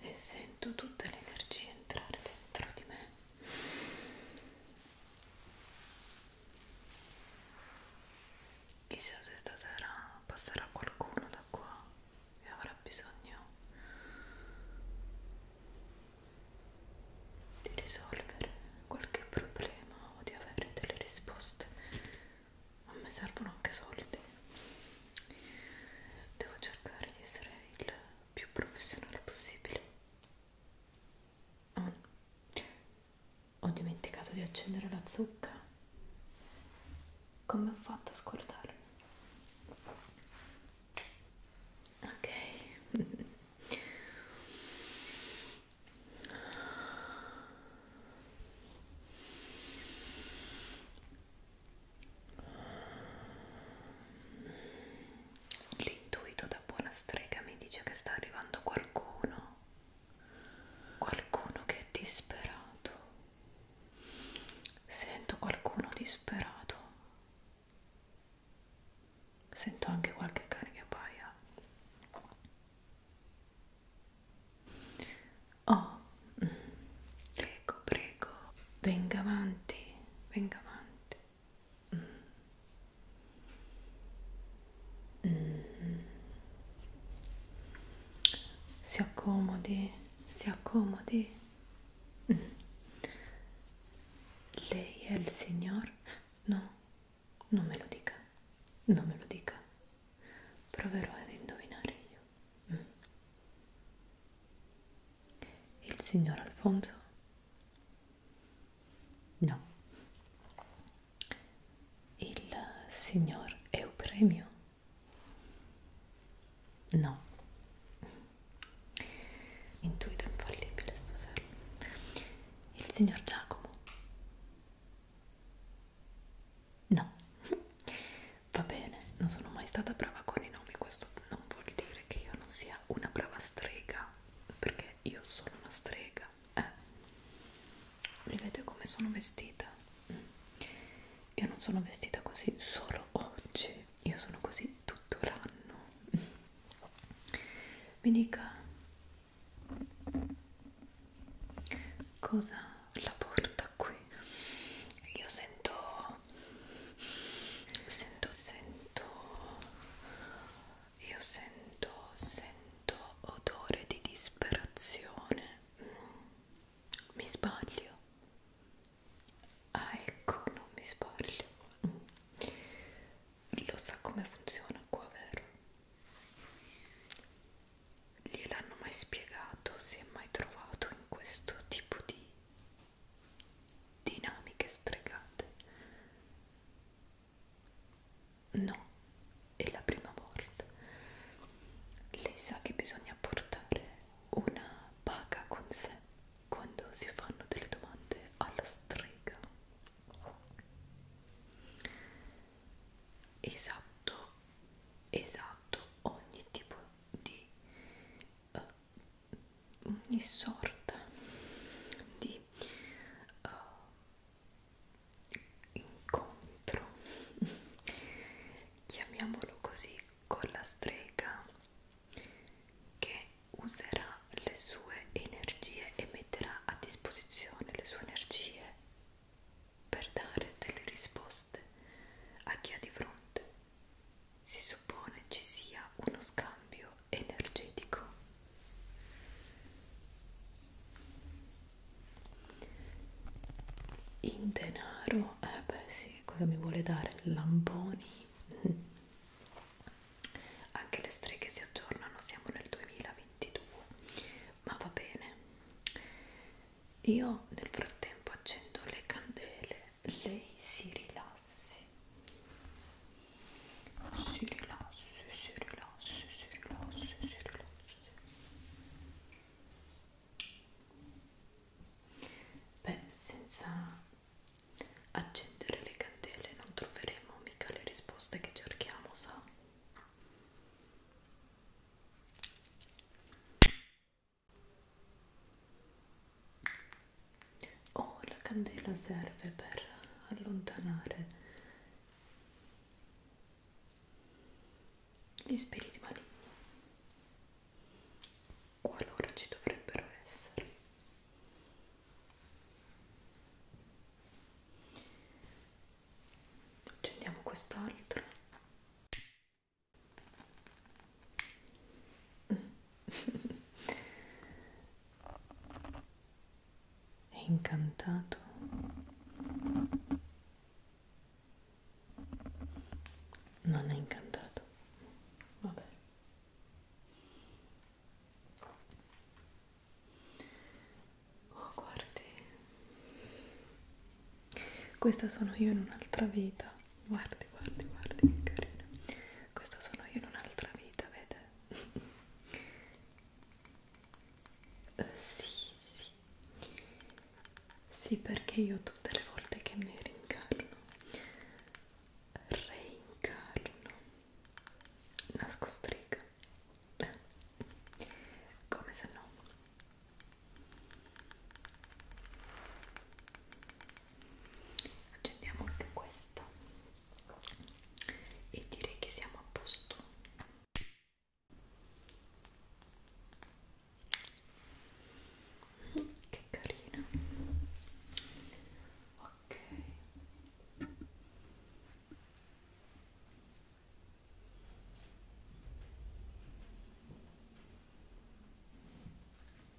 e sento tutta l'energia entrare dentro di me chissà se stasera passerà qualcuno da qua e avrà bisogno di risolvere qualche problema o di avere delle risposte a me servono anche soldi devo cercare di essere il più professionale possibile oh. ho dimenticato di accendere la zucca come ho fatto a scordarmi ok L'intuito da buona strega mi dice che sta arrivando qualcuno, qualcuno che è disperato. Sento qualcuno disperato. Sento anche qualche carica paia. Oh, mm. prego, prego, venga avanti, venga avanti. Mm. Mm. Si accomodi, si accomodi. Mm. Lei è il signor? No, non me lo dica, non me lo dica proverò ad indovinare io. Mm. Il signor Alfonso? No. Il signor Eupremio? No. Intuito infallibile stasera. Il signor Giacomo? No, va bene, non sono mai stata brava con i nomi, questo non vuol dire che io non sia una brava strega, perché io sono una strega. Eh, vedete come sono vestita? Mm. Io non sono vestita così solo oggi, io sono così tutto l'anno. Mi dica Cosa la porta qui? Io sento sento sento io sento sento odore di disperazione. Mm. Mi sbaglio. Ah, ecco, non mi sbaglio. Lo sa come funziona qua, vero? gliel'hanno mai spiegato, si è mai trovato in questo tipo di dinamiche stregate? No, è la prima volta. Lei sa che bisogna portare una paga con sé quando si fanno delle domande alla strega. Esatto esatto ogni tipo di uh, ogni sorta di uh, incontro chiamiamolo così con la strega che userà le sue energie e metterà a disposizione le sue energie per dare delle risposte a chi ha di fronte. Si suppone ci sia uno scambio energetico. In denaro, eh beh sì, cosa mi vuole dare? Lamponi? Anche le streghe si aggiornano, siamo nel 2020. 22 ma va bene io nel frattempo accendo le candele lei si rilassi si rilassi si rilassi si rilassi si rilassi beh senza accendere le candele non troveremo mica le risposte che cerchiamo sa Oh, la candela serve per allontanare gli spiriti maligni qualora ci dovrebbero essere accendiamo quest'altro è incantato non è incantato vabbè Oh, guardi, questa sono io in un'altra vita. Guardi, guardi, guardi, che carina. Questa sono io in un'altra vita, vede? uh, sì, sì. Sì, perché io tutte le volte che mi rincarno, reincarno, nasco strega come se no accendiamo anche questo e direi che siamo a posto mm, che carina ok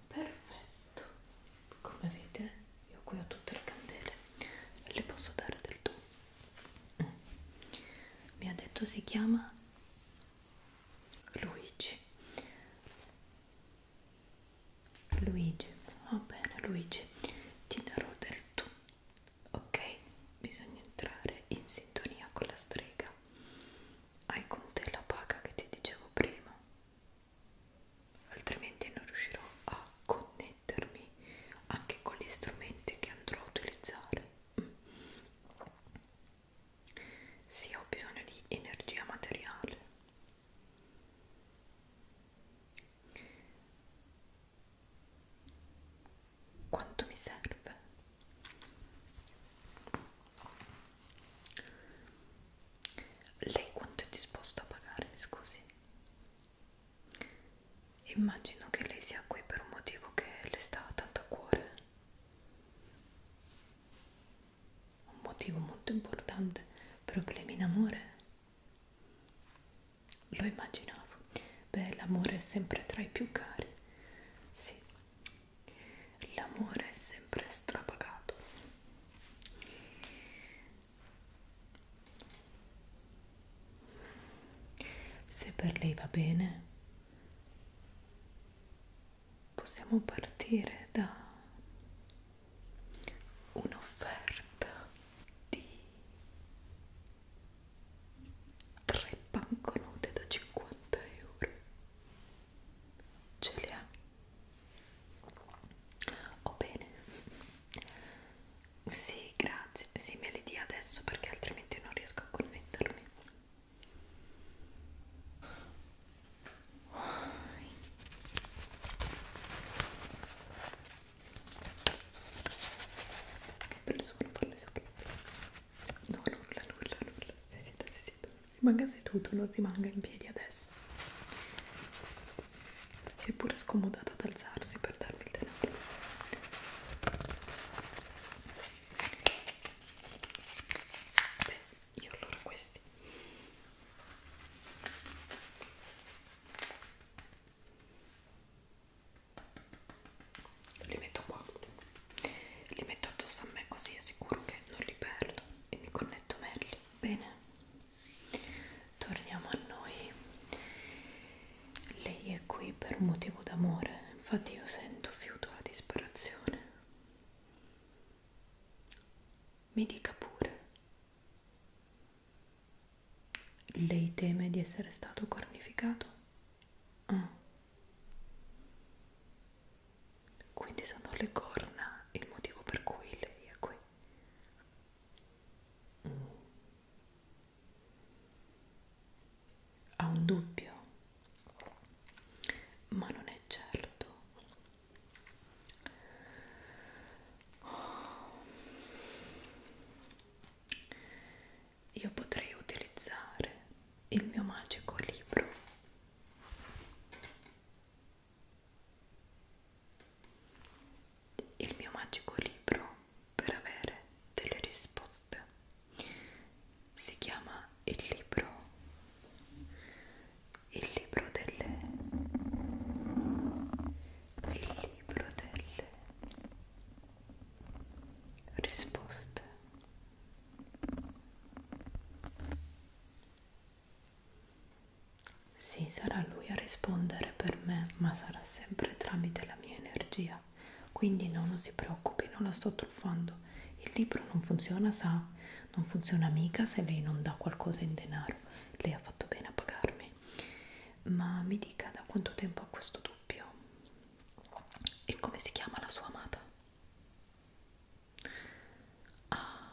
Perfetto, come vedete io qui ho tutte le candele, le posso dare del tu. Mm. Mi ha detto si chiama Luigi. Luigi, va bene Luigi, ti darò del tu ok bisogna entrare in sintonia con la strega hai con te la paga che ti dicevo prima altrimenti non riuscirò a connettermi anche con gli strumenti che andrò a utilizzare mm. sì ho bisogno di energia materiale quanto mi serve lei quanto è disposta a pagare scusi immagino che lei sia qui per un motivo che le sta tanto a cuore un motivo molto importante problemi in amore lo immaginavo. Beh, l'amore è sempre tra i più cari. Sì. L'amore è sempre strapagato. Se per lei va bene, possiamo partire da un'offerta di 3 banconote da 50 euro ce le ha oh bene sì grazie sì me le dia adesso perché altrimenti non riesco a connettermi che persone farle No, nulla, nulla, nulla. Si sieda, si sieda. Rimanga seduto, non rimanga in piedi adesso. Si è pure scomodata ad alzarsi per darmi il denaro. Beh, io allora questi li metto qua li metto addosso a me così è sicuro che non li perdo e mi connetto meglio bene torniamo a noi lei è qui per un motivo d'amore infatti io sento fiuto la disperazione mi dica pure lei teme di essere stato cornificato? Ah. Quindi sono le corna il motivo per cui lei è qui. Mm. Ha un dubbio, ma non è certo. Io potrei utilizzare il mio magico libro il mio magico libro per avere delle risposte si chiama il libro il libro delle il libro delle risposte sì, sarà lui a rispondere per me, ma sarà sempre tramite la mia energia. Quindi no, non si preoccupi, non la sto truffando. Il libro non funziona, sa, non funziona mica se lei non dà qualcosa in denaro lei ha fatto bene a pagarmi ma mi dica da quanto tempo ha questo dubbio e come si chiama la sua amata ah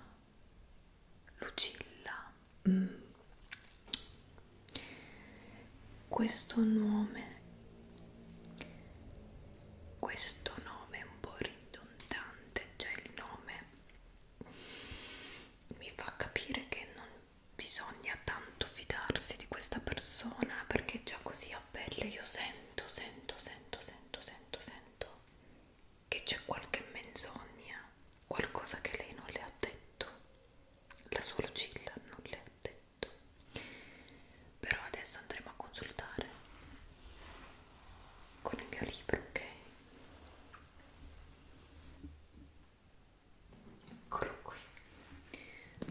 Lucilla mm. questo nome questo nome è un po' ridondante già cioè il nome mi fa capire che non bisogna tanto fidarsi di questa persona perché già così a pelle io sento, sento, sento, sento, sento, sento che c'è qualche menzogna, qualcosa che lei non le ha detto, la sua Lucilla non le ha detto. Però adesso andremo a consultare con il mio libro, ok? eccolo qui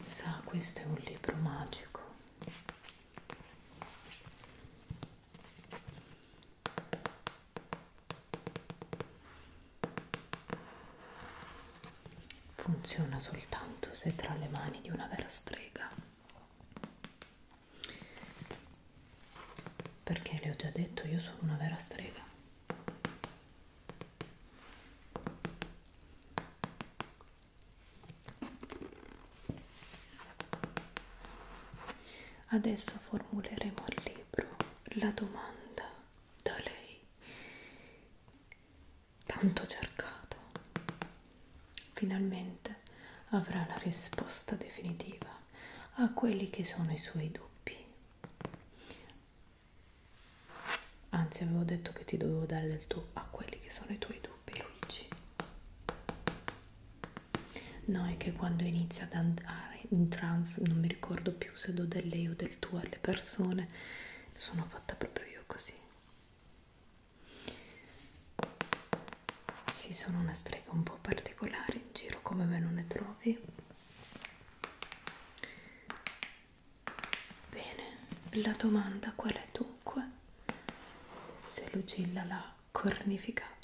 sa questo è un libro magico funziona soltanto se tra le mani di una vera strega perché le ho già detto io sono una vera strega adesso formuleremo al libro la domanda da lei tanto cercata finalmente Freud avrà la risposta definitiva a quelli che sono i suoi dubbi. Anzi, avevo detto che ti dovevo dare del tu a quelli che sono i tuoi dubbi, Luigi. No, è che quando inizio ad andare in trance non mi ricordo più se do del lei o del tu alle persone, sono fatta proprio io così. Sì, sono una strega un po' particolare in giro, come me non ne trovi. Bene, la domanda qual è dunque? Se Lucilla l'ha cornificato.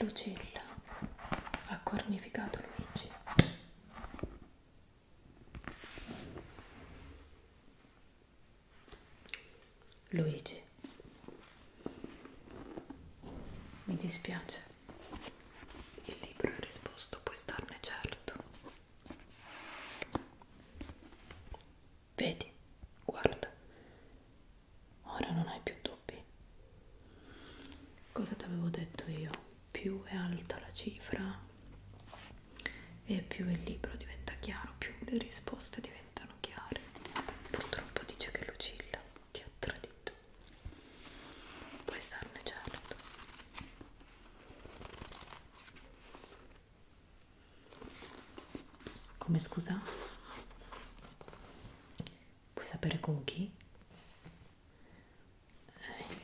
Lucilla ha cornificato Luigi. Luigi, mi dispiace, il libro è risposto, puoi starne certo. Vedi, guarda, Ora non hai più dubbi. Cosa ti avevo detto io? Più è alta la cifra e più il libro diventa chiaro, più le risposte diventano chiare. Purtroppo dice che Lucilla ti ha tradito. Puoi starne certo. Come scusa? Puoi sapere con chi? Eh,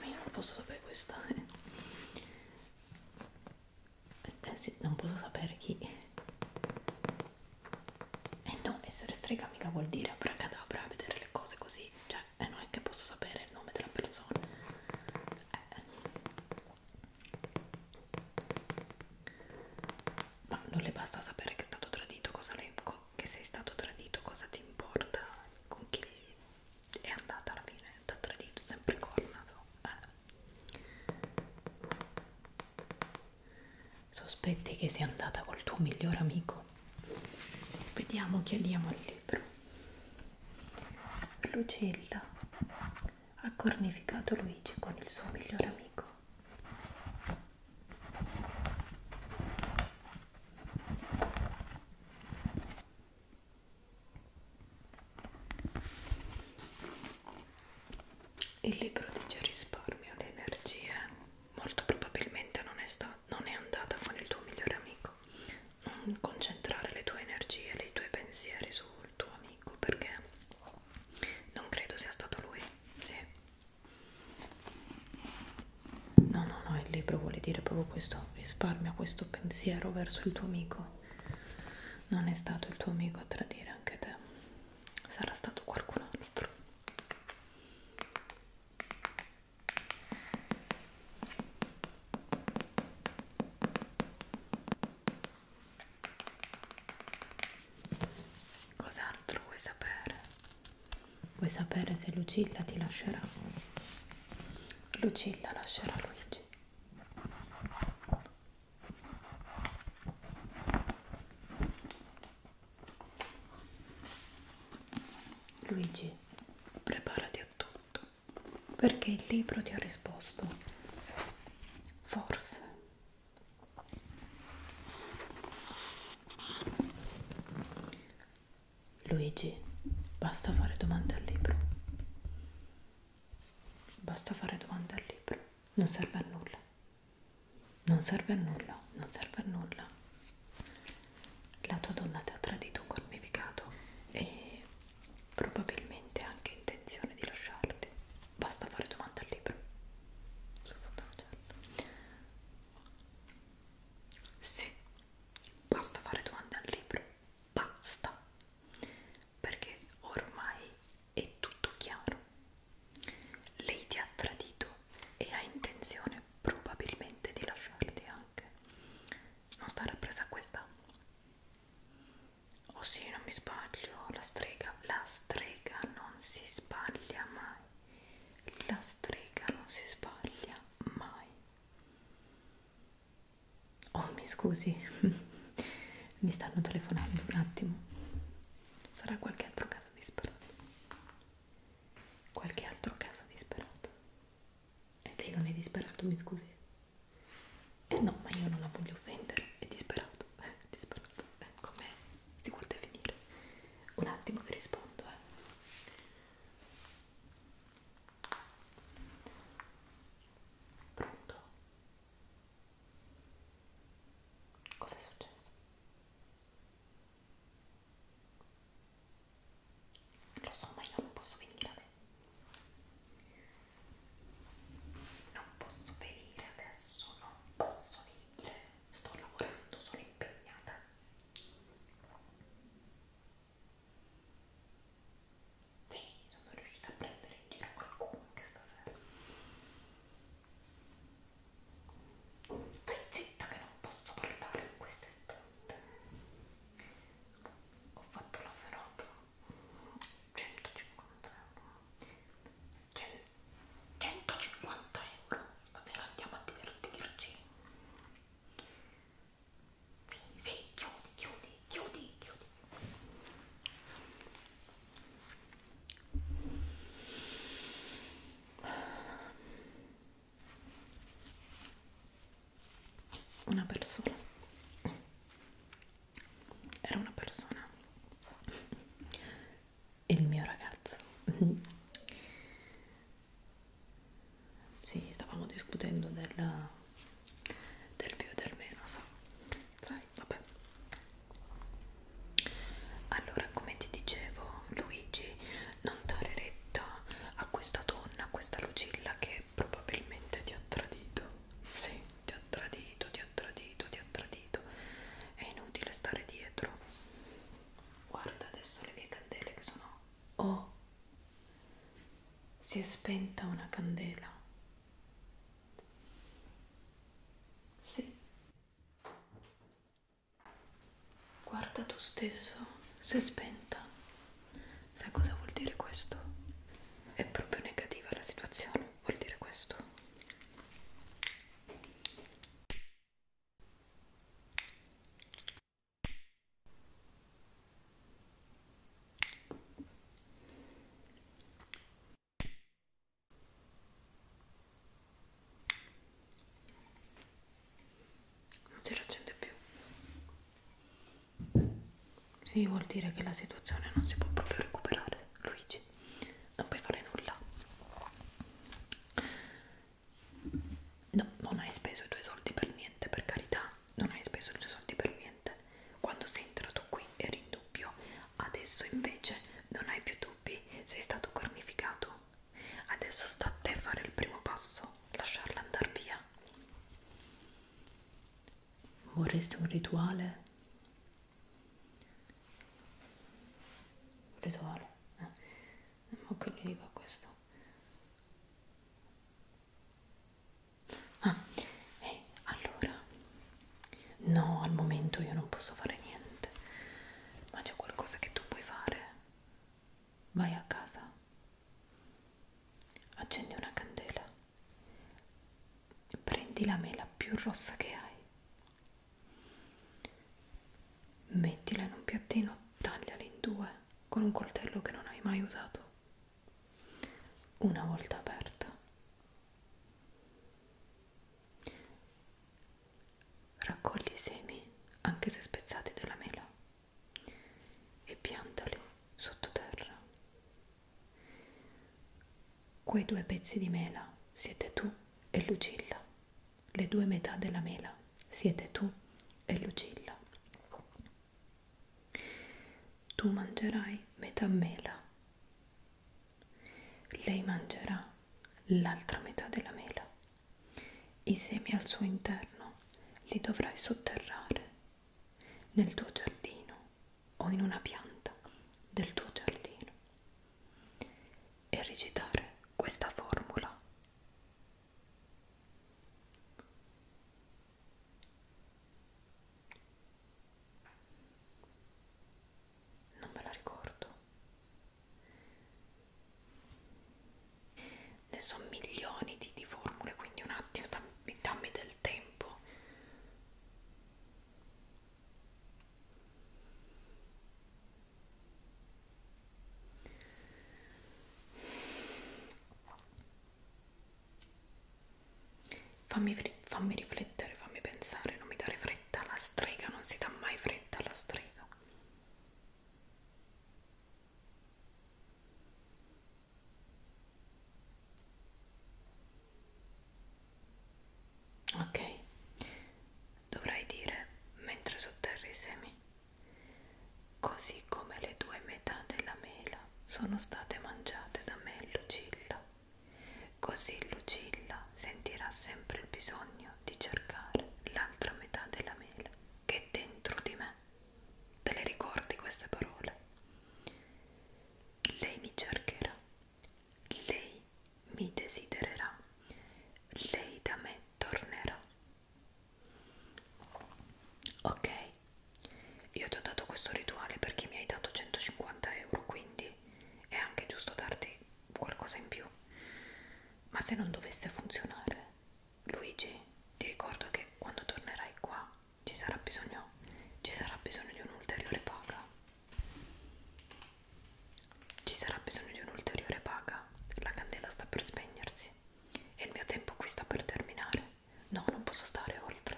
ma io non posso sapere questa. Eh. Eh, sì, non posso sapere chi. E eh no, essere strega mica vuol dire abracadabra, vedere le cose così. Cioè, eh, non è che posso sapere il nome della persona. Eh. Ma non le basta sapere che è stato tradito, cosa le, che sei stato tradito, cosa ti importa, con chi è andata alla fine, ti ha tradito, sempre cornato. Eh. Sospetti che sia andata col tuo miglior amico? Vediamo, chiediamo il libro. Lucilla ha cornificato Luigi con il suo migliore amico. Il libro dice risparmio di energie, molto probabilmente non è, non è andata con il tuo migliore amico. Non concentrare le tue energie, i tuoi pensieri sul tuo amico perché non credo sia stato lui sì. no no no il libro vuole dire proprio questo risparmia questo pensiero verso il tuo amico non è stato il tuo amico a tradire anche te sarà stato qualcun altro Cos'altro vuoi sapere? Vuoi sapere se Lucilla ti lascerà? Lucilla lascerà Luigi. Luigi, preparati a tutto, perché il libro ti ha risposto. Forse Luigi, basta fare domande al libro. Basta fare domande al libro. Non serve a nulla. Non serve a nulla, non serve a nulla. La tua donna ti ha tradito un cornificato e probabilmente anche intenzione di lasciarti basta fare domanda al libro sul fondo certo. sì basta fare domanda al libro basta perché ormai è tutto chiaro lei ti ha tradito e ha intenzione probabilmente di lasciarti anche non stare presa a questa oh sì non mi sbaglio la strega la strega non si sbaglia mai la strega non si sbaglia mai oh mi scusi mi stanno telefonando un attimo sarà qualche altro caso disperato qualche altro caso disperato e lei non è disperato mi scusi No, ma io non la voglio offendere, è disperato, è disperato, come si guarda a finire. Un attimo che rispondo, eh. Pronto? Cosa è successo? Lo so, ma io non posso venire a me non posso venire adesso, non posso venire, sto lavorando, sono impegnata. Sì, sono riuscita a prendere in giro qualcuno anche stasera. Stai zitta che non posso parlare in questo istante. Ho fatto la serata 150 euro 150 cioè, euro davvero andiamo a divertirci sì, sì, chiudi, chiudi, chiudi, chiudi una persona era una persona il mio ragazzo sì stavamo discutendo della, del più e del meno so. sai vabbè allora come ti dicevo Luigi non dare retta a questa donna a questa Lucilla che probabilmente ti ha tradito sì ti ha tradito, ti ha tradito, ti ha tradito, è inutile stare dietro. Guarda adesso le mie candele che sono... Oh! Si è spenta una candela. Sì. Guarda tu stesso, si è spenta. Sai cosa vuol dire questo? È proprio negativa la situazione, vuol dire questo. Non si raccende più. Sì, vuol dire che la situazione non si può proprio recuperare, Luigi. Non puoi fare nulla. No, non hai speso i tuoi soldi per niente, per carità. Non hai speso i tuoi soldi per niente. Quando sei entrato qui eri in dubbio. Adesso invece non hai più dubbi. Sei stato cornificato. Adesso sta a te fare il primo passo. Lasciarla andare via. Vorresti un rituale? Un rituale? Eh. Ma che gli dico a questo? Ah, eh, allora, no, al momento io non posso fare niente, ma c'è qualcosa che tu puoi fare. Vai a casa, Accendi una candela, prendi la mela più rossa che hai, mettila in un piattino, tagliala in due con un coltello che non hai mai usato. Una volta aperta, raccogli i semi, anche se spezzati dalla mela e piantali sottoterra. Quei due pezzi di mela siete tu e Lucilla. Le due metà della mela siete tu e Lucilla. Tu mangerai metà mela. Lei mangerà l'altra metà della mela. I semi al suo interno li dovrai sotterrare nel tuo giardino o in una pianta del tuo giardino e recitare questa formula. Non me la ricordo ne so milioni di, di formule quindi un attimo dammi, dammi del tempo fammi, fammi riflettere fammi pensare non mi dare fretta alla strega non si dà mai fretta alla strega Ok, dovrai dire mentre sotterri i semi, così come le due metà della mela sono state mangiate da me e Lucilla, così Lucilla sentirà sempre il bisogno di cercare l'altra metà della mela che è dentro di me. Te le ricordi queste parole? Lei mi cercherà, lei mi desidererà, lei da me tornerà. Ok, io ti ho dato questo rituale perché mi hai dato 150 euro, quindi è anche giusto darti qualcosa in più. Ma se non dovesse funzionare, Luigi, ti ricordo che quando tornerai qua ci sarà bisogno, ci sarà bisogno di un'ulteriore paga. Ci sarà bisogno di un'ulteriore paga. La candela sta per spegnersi e il mio tempo qui sta per terminare. No, non posso stare oltre,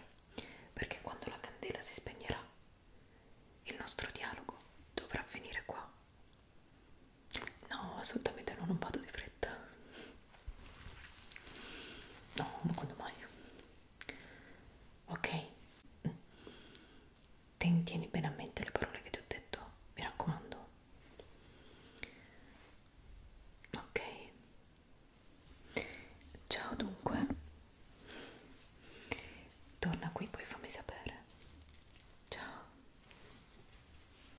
perché quando la candela si spegnerà, il nostro dialogo dovrà finire qua. No, assolutamente no, non vado di fretta. No, ma quando mai? Ok? Ten, tieni bene a mente le parole che ti ho detto, mi raccomando. Ok. Ciao dunque. Torna qui, poi fammi sapere. Ciao.